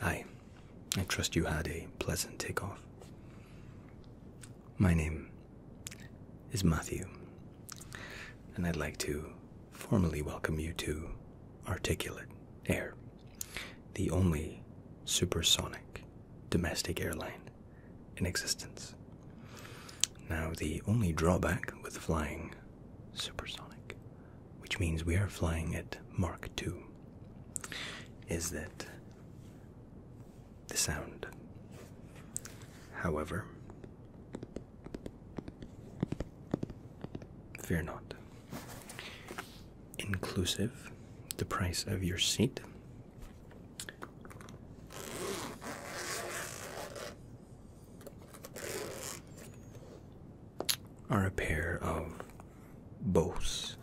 Hi, I trust you had a pleasant takeoff. My name is Matthew, and I'd like to formally welcome you to Articulate Air, the only supersonic domestic airline in existence. Now, the only drawback with flying supersonic, which means we are flying at Mach 2, is that the sound. However, fear not. Inclusive the price of your seat are a pair of Bose.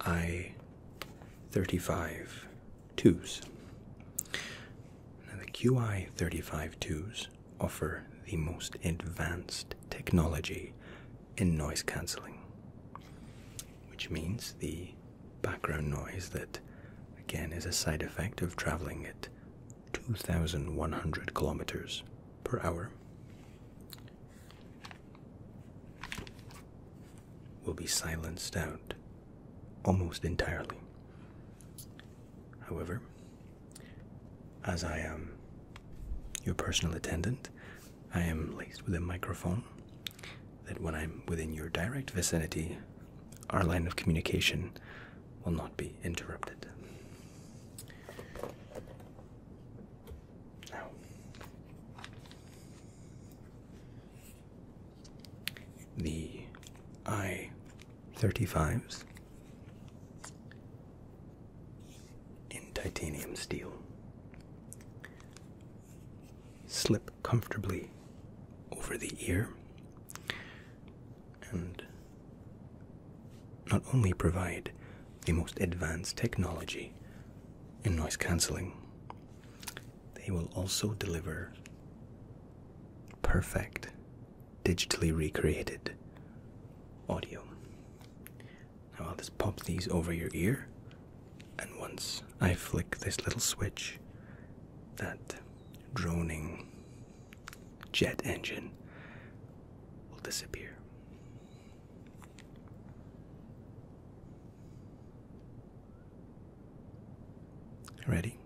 I 35 twos. the QI 35 twos offer the most advanced technology in noise cancelling, which means the background noise that, again, is a side effect of traveling at 2,100 kilometers per hour. Will be silenced out almost entirely. However, as I am your personal attendant, I am laced with a microphone that when I'm within your direct vicinity, our line of communication will not be interrupted. Now, the I 35s in titanium steel slip comfortably over the ear and not only provide the most advanced technology in noise cancelling, they will also deliver perfect, digitally recreated audio. Now I'll just pop these over your ear and once I flick this little switch, that droning jet engine will disappear. Ready?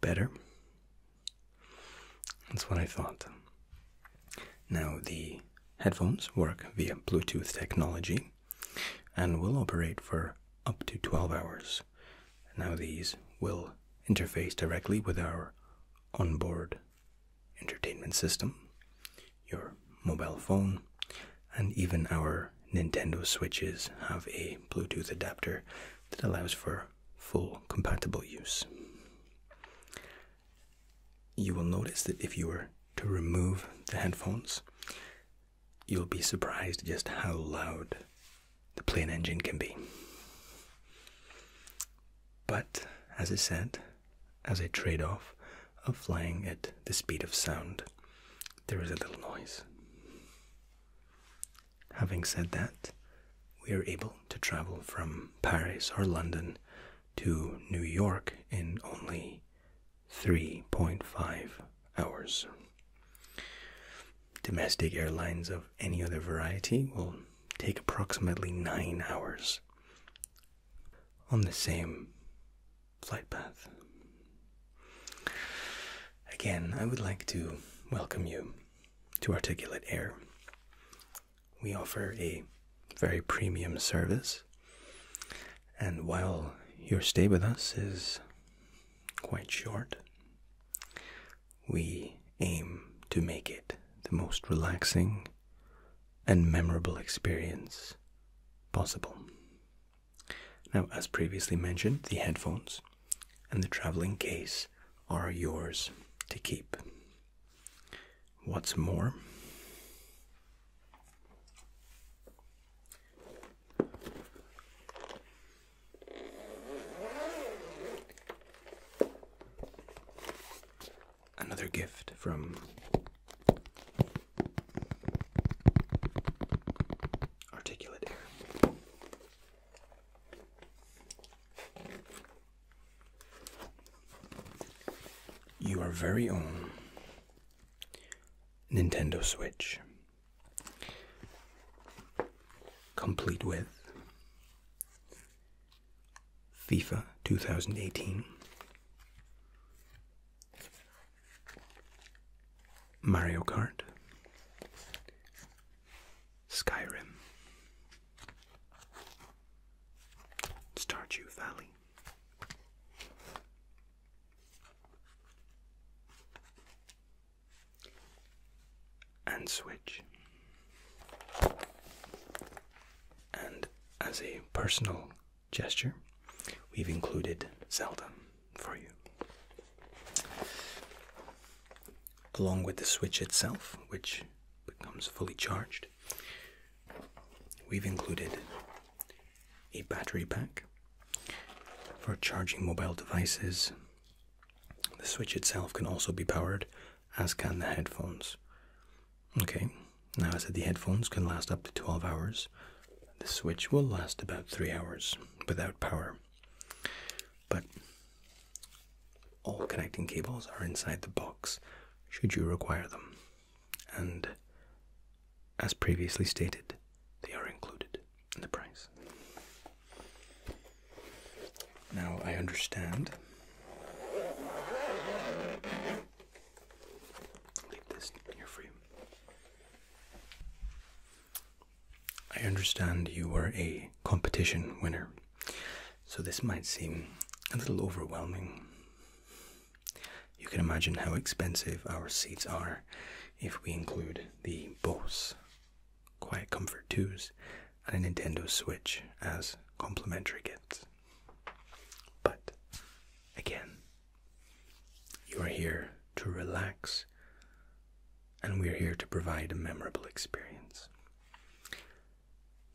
Better. That's what I thought. Now, the headphones work via Bluetooth technology and will operate for up to 12 hours. Now, these will interface directly with our onboard entertainment system, your mobile phone, and even our Nintendo Switches have a Bluetooth adapter that allows for full compatible use. You will notice that if you were to remove the headphones, you'll be surprised just how loud the plane engine can be. But as I said, as a trade off of flying at the speed of sound, there is a little noise. Having said that, we are able to travel from Paris or London to New York in only 3.5 hours. Domestic airlines of any other variety will take approximately 9 hours on the same flight path. Again, I would like to welcome you to Articulate Air. We offer a very premium service, and while your stay with us is quite short, we aim to make it the most relaxing and memorable experience possible. Now, as previously mentioned, the headphones and the traveling case are yours to keep. What's more, Another gift from articulate air. Your very own Nintendo Switch, complete with FIFA 2018, Mario Kart, Skyrim, Stardew Valley. And switch. And as a personal gesture, we've included Zelda for you. Along with the switch itself, which becomes fully charged, we've included a battery pack for charging mobile devices. The switch itself can also be powered, as can the headphones. Okay, now I said the headphones can last up to 12 hours. The switch will last about 3 hours without power. But all connecting cables are inside the box should you require them. And as previously stated, they are included in the price. Now I understand Leave this near for you. I understand you were a competition winner, so this might seem a little overwhelming. You can imagine how expensive our seats are if we include the Bose Quiet Comfort 2s and a Nintendo Switch as complimentary gifts. But again, you are here to relax, and we are here to provide a memorable experience.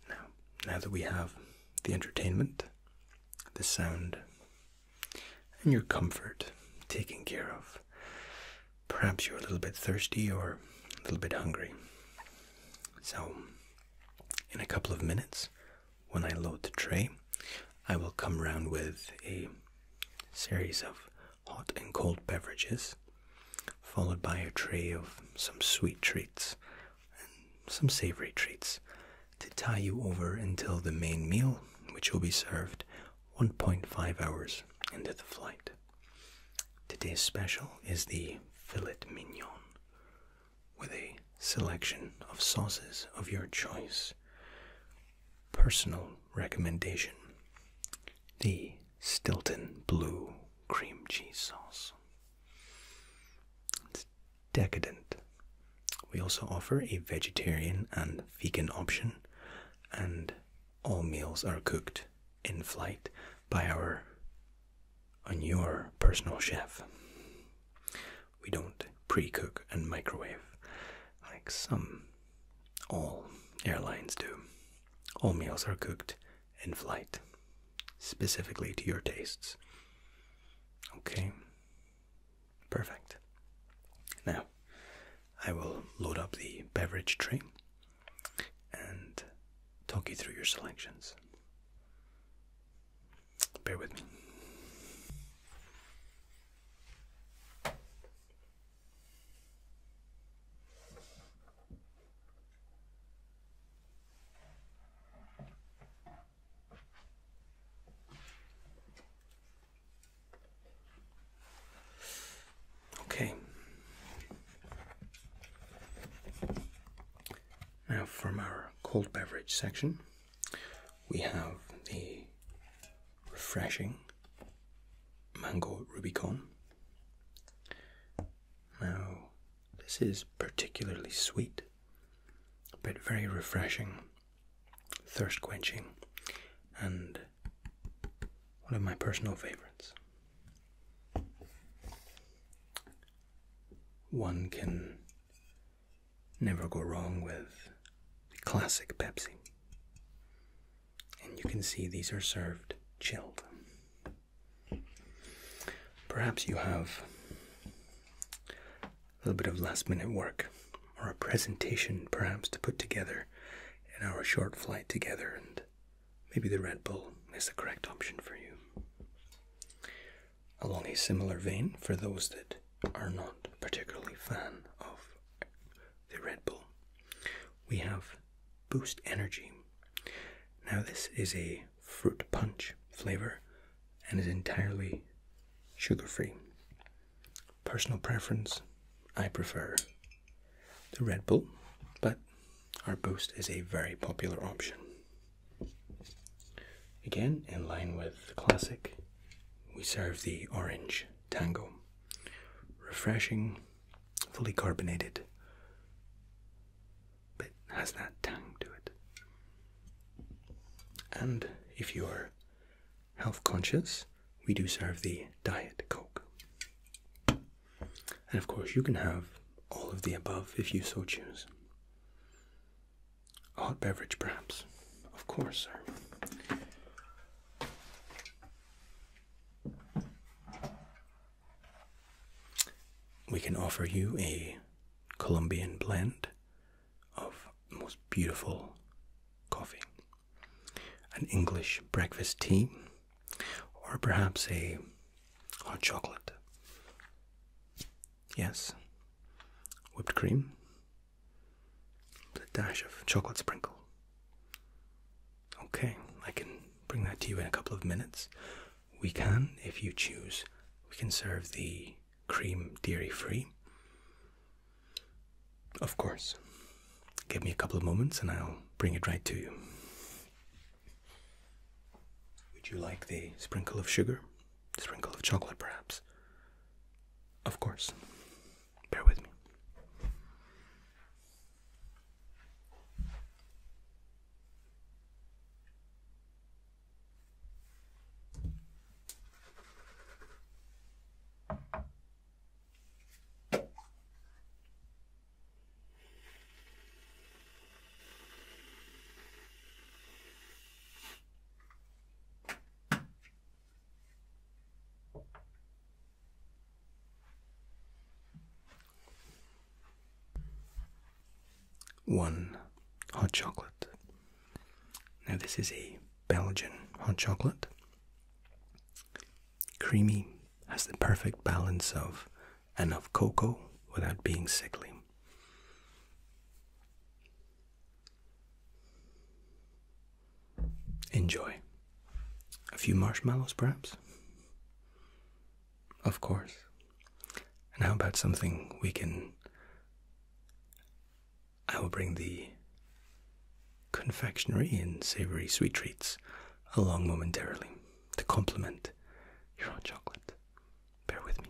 Now, now that we have the entertainment, the sound, and your comfort taken care of, perhaps you're a little bit thirsty or a little bit hungry. So, in a couple of minutes, when I load the tray, I will come round with a series of hot and cold beverages, followed by a tray of some sweet treats and some savory treats to tie you over until the main meal, which will be served 1.5 hours into the flight. Today's special is the filet mignon with a selection of sauces of your choice. Personal recommendation the Stilton Blue Cream Cheese Sauce. decadent. We also offer a vegetarian and vegan option, and all meals are cooked in flight by our on your personal chef. We don't pre cook and microwave like some. All airlines do. All meals are cooked in flight, specifically to your tastes. Okay, perfect. Now, I will load up the beverage tray and talk you through your selections. Bear with me. Okay. Now, from our cold beverage section, we have the refreshing mango rubicon. Now, this is particularly sweet, but very refreshing, thirst quenching, and one of my personal favorites. One can Never go wrong with classic Pepsi. And you can see these are served chilled. Perhaps you have a little bit of last minute work or a presentation, perhaps, to put together in our short flight together, and maybe the Red Bull is the correct option for you along a similar vein for those that are not particularly fan of the Red Bull. We have Boost Energy. Now this is a fruit punch flavor and is entirely sugar-free. Personal preference, I prefer the Red Bull, but our Boost is a very popular option. Again, in line with the classic, we serve the orange tango. Refreshing, fully carbonated, but has that tang to it. And if you are health conscious, we do serve the Diet Coke. And of course, you can have all of the above if you so choose hot beverage, perhaps. Of course, sir. We can offer you a Colombian blend of most beautiful coffee, an English breakfast tea, or perhaps a hot chocolate. Yes. Whipped cream. a dash of chocolate sprinkle. Okay, I can bring that to you in a couple of minutes. We can, if you choose, we can serve the cream dairy free. Of course. Give me a couple of moments and I'll bring it right to you. Would you like the sprinkle of sugar? sprinkle of chocolate, perhaps. Of course. Bear with me. One hot chocolate. Now, this is a Belgian hot chocolate. Creamy, has the perfect balance of and of cocoa without being sickly. Enjoy. A few marshmallows, perhaps? Of course. And how about something we can. I will bring the confectionery and savory sweet treats along momentarily to complement your chocolate. Bear with me.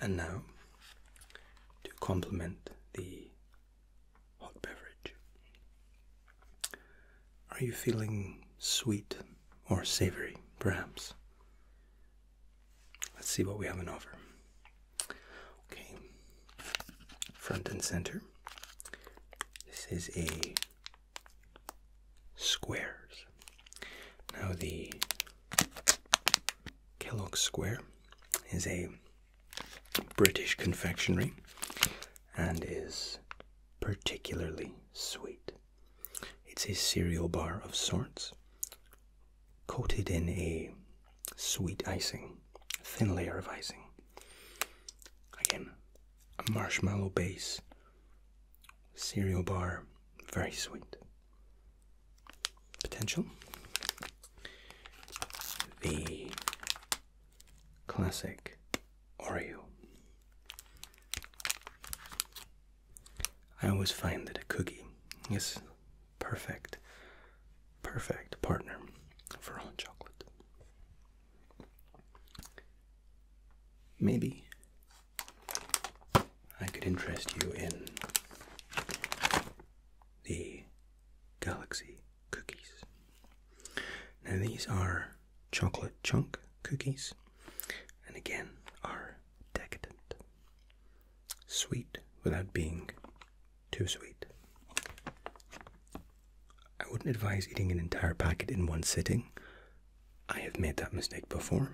And now, to complement the hot beverage, are you feeling sweet or savory, perhaps? Let's see what we have in offer. Okay, front and center. This is a squares. Now the Kellogg Square is a British confectionery and is particularly sweet. It's a cereal bar of sorts coated in a sweet icing, thin layer of icing. Again, a marshmallow base, cereal bar, very sweet. Potential. The classic Oreo. I always find that a cookie is perfect, perfect partner for hot chocolate. Maybe I could interest you in the galaxy cookies. Now, these are chocolate chunk cookies and again are decadent sweet without being too sweet. I wouldn't advise eating an entire packet in one sitting. I have made that mistake before,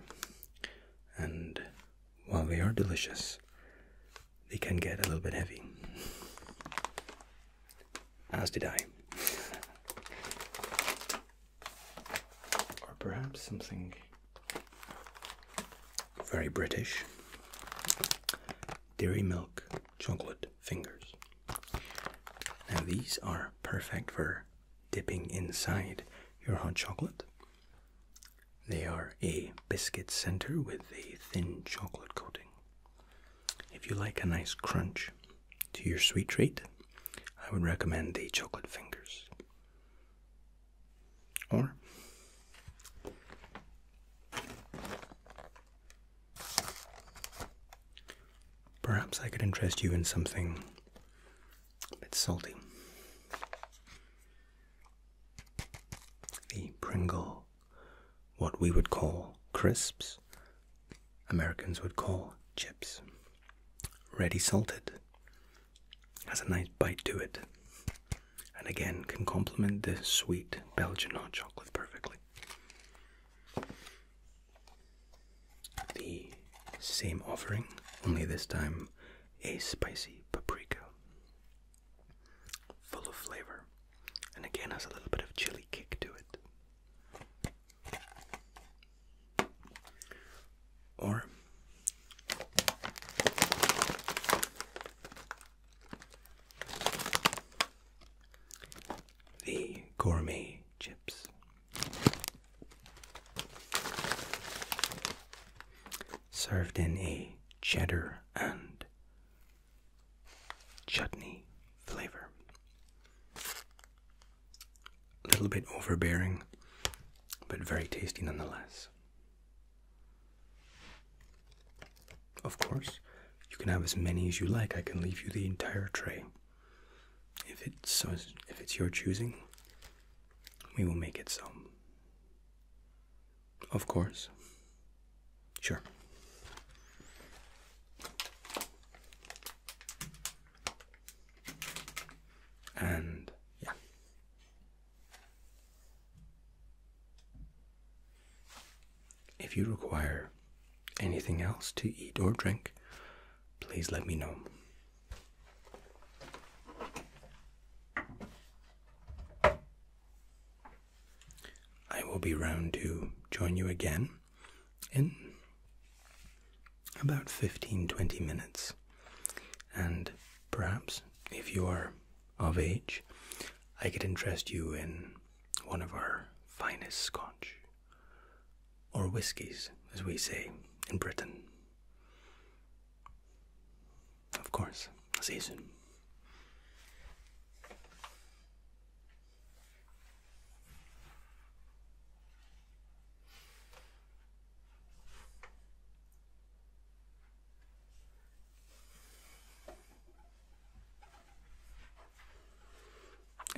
and while they are delicious, they can get a little bit heavy. As did I. Or perhaps something very British. Dairy milk chocolate fingers. Now, these are perfect for dipping inside your hot chocolate. They are a biscuit center with a thin chocolate coating. If you like a nice crunch to your sweet treat, I would recommend the chocolate fingers. Or perhaps I could interest you in something a bit salty. The Pringle, what we would call crisps, Americans would call chips, ready salted has a nice bite to it, and again can complement the sweet Belgian hot chocolate perfectly. The same offering, only this time a spicy paprika, full of flavor, and again has a little bit of chili kick to it. Or the gourmet chips. Served in a cheddar and chutney flavor. A little bit overbearing, but very tasty nonetheless. Of course, you can have as many as you like. I can leave you the entire tray. If it's if it's your choosing, we will make it so. Of course. Sure. And yeah. If you require anything else to eat or drink, please let me know. I will be round to join you again in about 15 20 minutes. And perhaps, if you are of age, I could interest you in one of our finest scotch, or whiskies, as we say in Britain. Of course, I'll see you soon.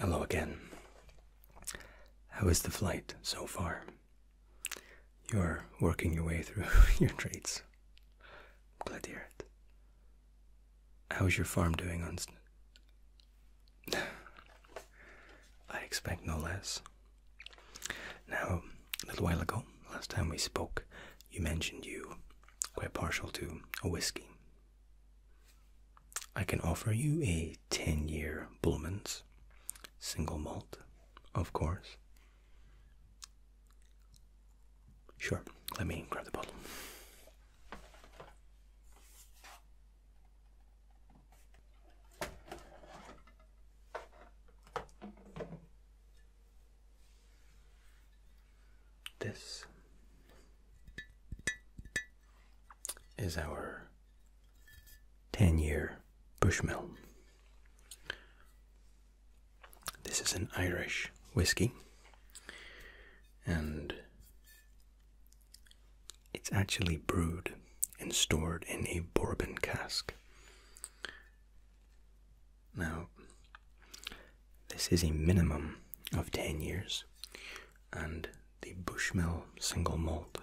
Hello again. How is the flight so far? You're working your way through your traits. I'm glad to hear it. How's your farm doing on? I expect no less. Now, a little while ago, last time we spoke, you mentioned you quite partial to a whiskey. I can offer you a 10 year Bullman's single malt, of course. Sure, let me grab the bottle. This is our 10 year Bushmill. This is an Irish whiskey, and it's actually brewed and stored in a bourbon cask. Now, this is a minimum of 10 years, and the Bushmill single malt,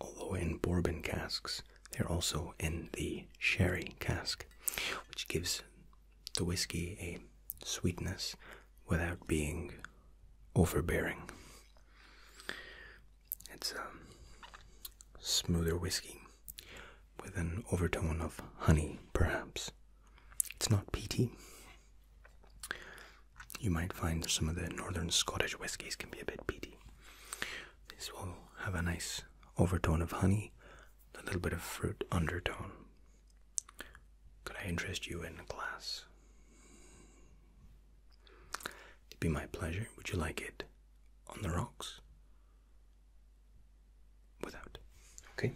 although in bourbon casks, they're also in the sherry cask, which gives the whiskey a sweetness without being overbearing. It's a um, smoother whiskey with an overtone of honey, perhaps. It's not peaty. You might find some of the northern Scottish whiskies can be a bit peaty. This will have a nice overtone of honey, a little bit of fruit undertone. Could I interest you in a glass? It'd be my pleasure. Would you like it on the rocks? Without. Okay.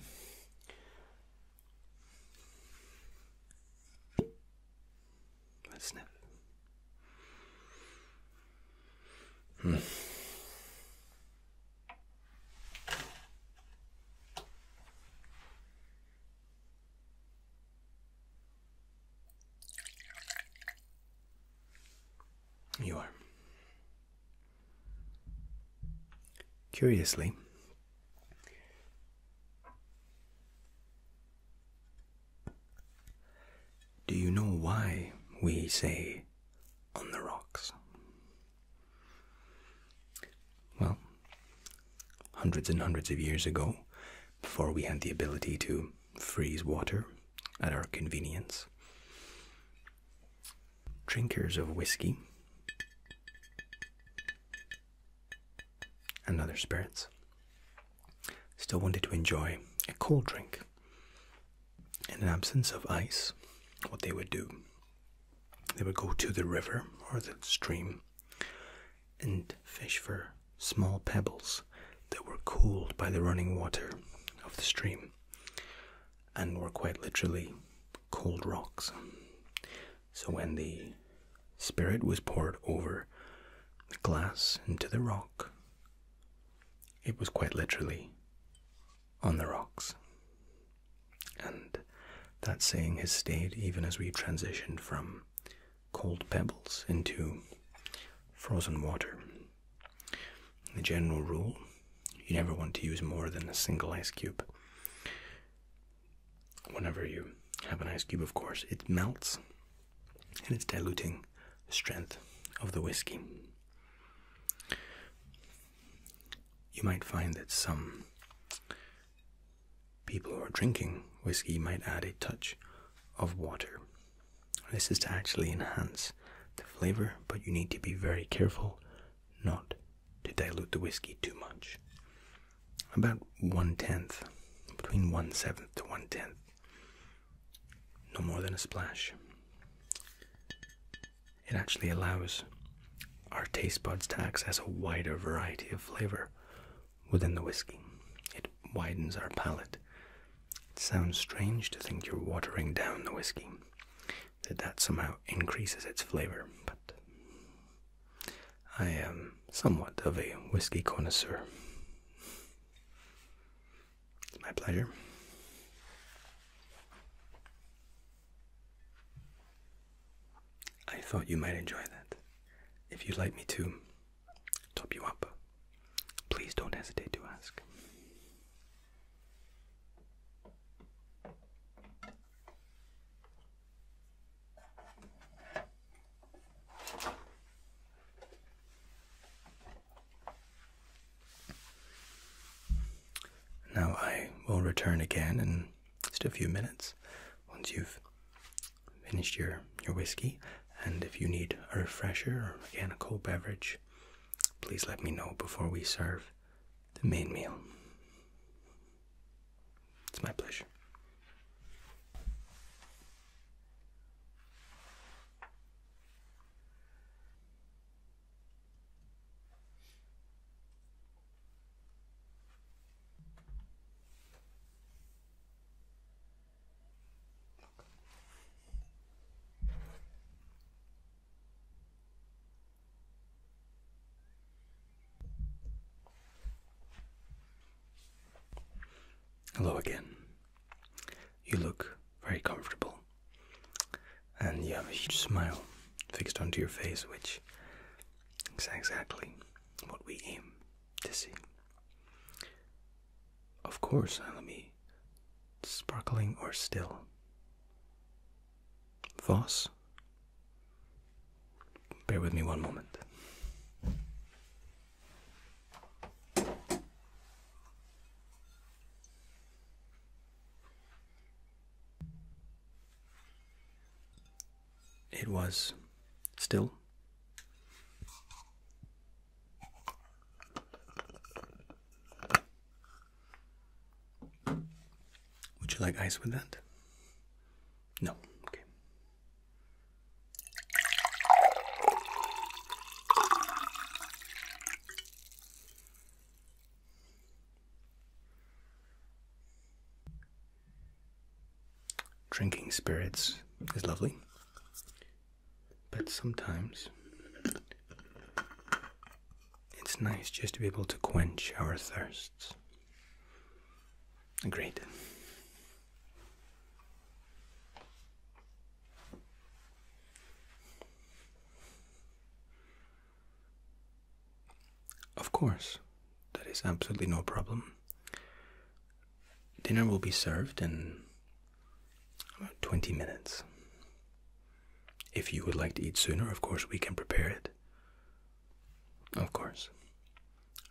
Let's sniff. You are. Curiously, do you know why we say on the rocks? Well, hundreds and hundreds of years ago, before we had the ability to freeze water at our convenience. Drinkers of whiskey and other spirits still wanted to enjoy a cold drink. In an absence of ice, what they would do, they would go to the river or the stream and fish for small pebbles that were cooled by the running water of the stream and were quite literally cold rocks. So when the spirit was poured over the glass into the rock, it was quite literally on the rocks. And that saying has stayed even as we transitioned from cold pebbles into frozen water. The general rule you never want to use more than a single ice cube. Whenever you have an ice cube, of course, it melts and it's diluting the strength of the whiskey. You might find that some people who are drinking whiskey might add a touch of water. This is to actually enhance the flavor, but you need to be very careful not to dilute the whiskey too much. About one tenth, between one seventh to one tenth. No more than a splash. It actually allows our taste buds to access a wider variety of flavor within the whiskey. It widens our palate. It sounds strange to think you're watering down the whiskey, that that somehow increases its flavor, but I am somewhat of a whiskey connoisseur. It's my pleasure. I thought you might enjoy that. If you'd like me to, top you up, please don't hesitate to ask. Now I will return again in just a few minutes once you've finished your your whiskey and if you need a refresher or again a cold beverage please let me know before we serve the main meal it's my pleasure Hello again. You look very comfortable, and you have a huge smile fixed onto your face, which is exactly what we aim to Of course, let me sparkling or still. Voss. Bear with me one moment it was still. Would you like ice with that? No. Okay. Drinking spirits is lovely, but sometimes it's nice just to be able to quench our thirsts. Great. Of course, that is absolutely no problem. Dinner will be served in about 20 minutes. If you would like to eat sooner, of course, we can prepare it. Of course.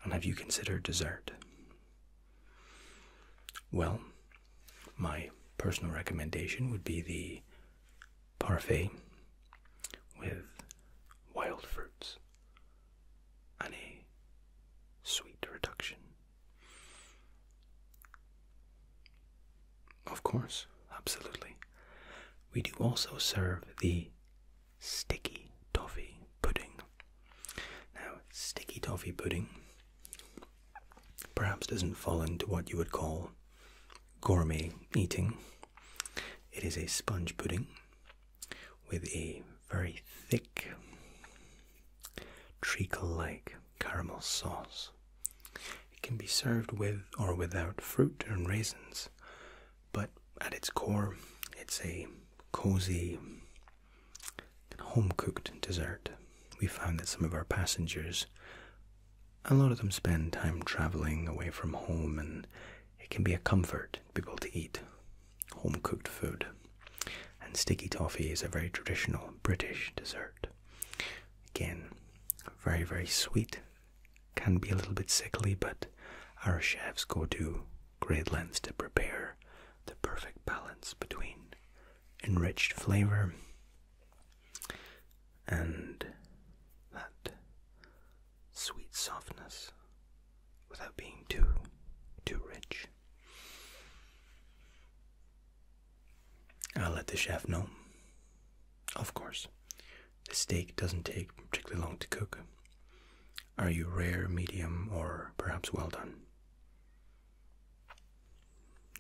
And have you considered dessert? Well, my personal recommendation would be the parfait with wild fruits and sweet reduction. Of course, absolutely. We do also serve the sticky toffee pudding. Now, sticky toffee pudding perhaps doesn't fall into what you would call gourmet eating. It is a sponge pudding with a very thick treacle like caramel sauce. It can be served with or without fruit and raisins, but at its core, it's a cozy, home cooked dessert. We found that some of our passengers, a lot of them spend time traveling away from home, and it can be a comfort to people to eat home cooked food. And sticky toffee is a very traditional British dessert. Again, very, very sweet, can be a little bit sickly, but our chefs go to great lengths to prepare the perfect balance between enriched flavor and that sweet softness without being too too rich. I'll let the chef know. Of course. The steak doesn't take particularly long to cook. Are you rare, medium, or perhaps well done?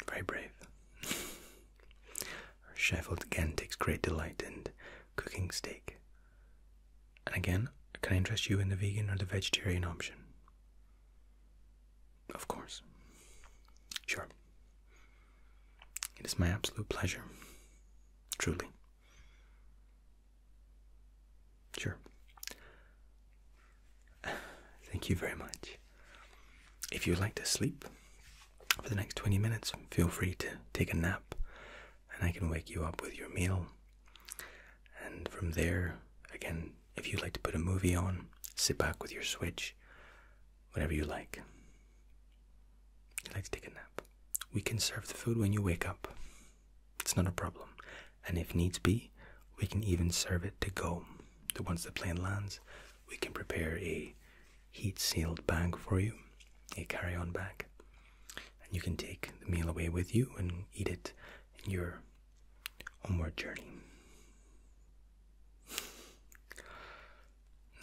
Very brave. Our chef again takes great delight in cooking steak and again, can I interest you in the vegan or the vegetarian option? Of course. Sure. It is my absolute pleasure. Truly. Sure. Thank you very much. If you'd like to sleep for the next 20 minutes, feel free to take a nap and I can wake you up with your meal. And from there, again, if you'd like to put a movie on, sit back with your Switch, whatever you like. If you like to take a nap. We can serve the food when you wake up. It's not a problem. And if needs be, we can even serve it to go. once the plane lands, we can prepare a heat sealed bag for you, a carry on bag, and you can take the meal away with you and eat it in your onward journey.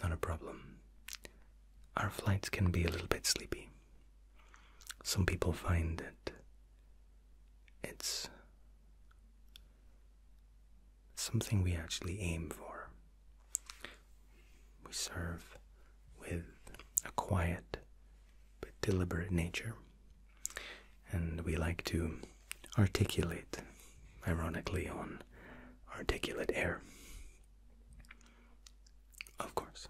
Not a problem. Our flights can be a little bit sleepy. Some people find that it's something we actually aim for. We serve with a quiet but deliberate nature. And we like to articulate, ironically, on articulate air. Of course.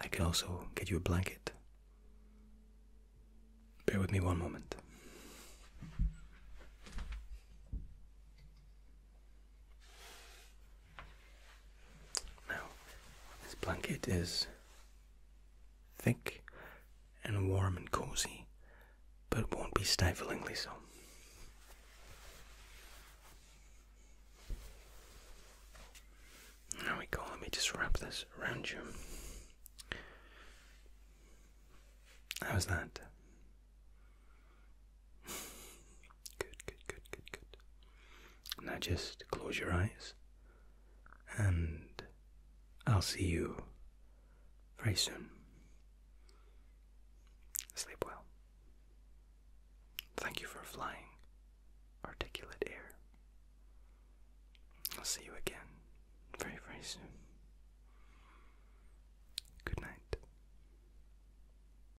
I can also get you a blanket. Bear with me one moment. Now, this blanket is thick and warm and cozy, but won't be stiflingly so. There we go, let me just wrap this around you. How's that? Good, good, good, good, good. Now just close your eyes, and I'll see you very soon. Sleep well. Thank you for flying, articulate air. I'll see you again very, very soon. Good night.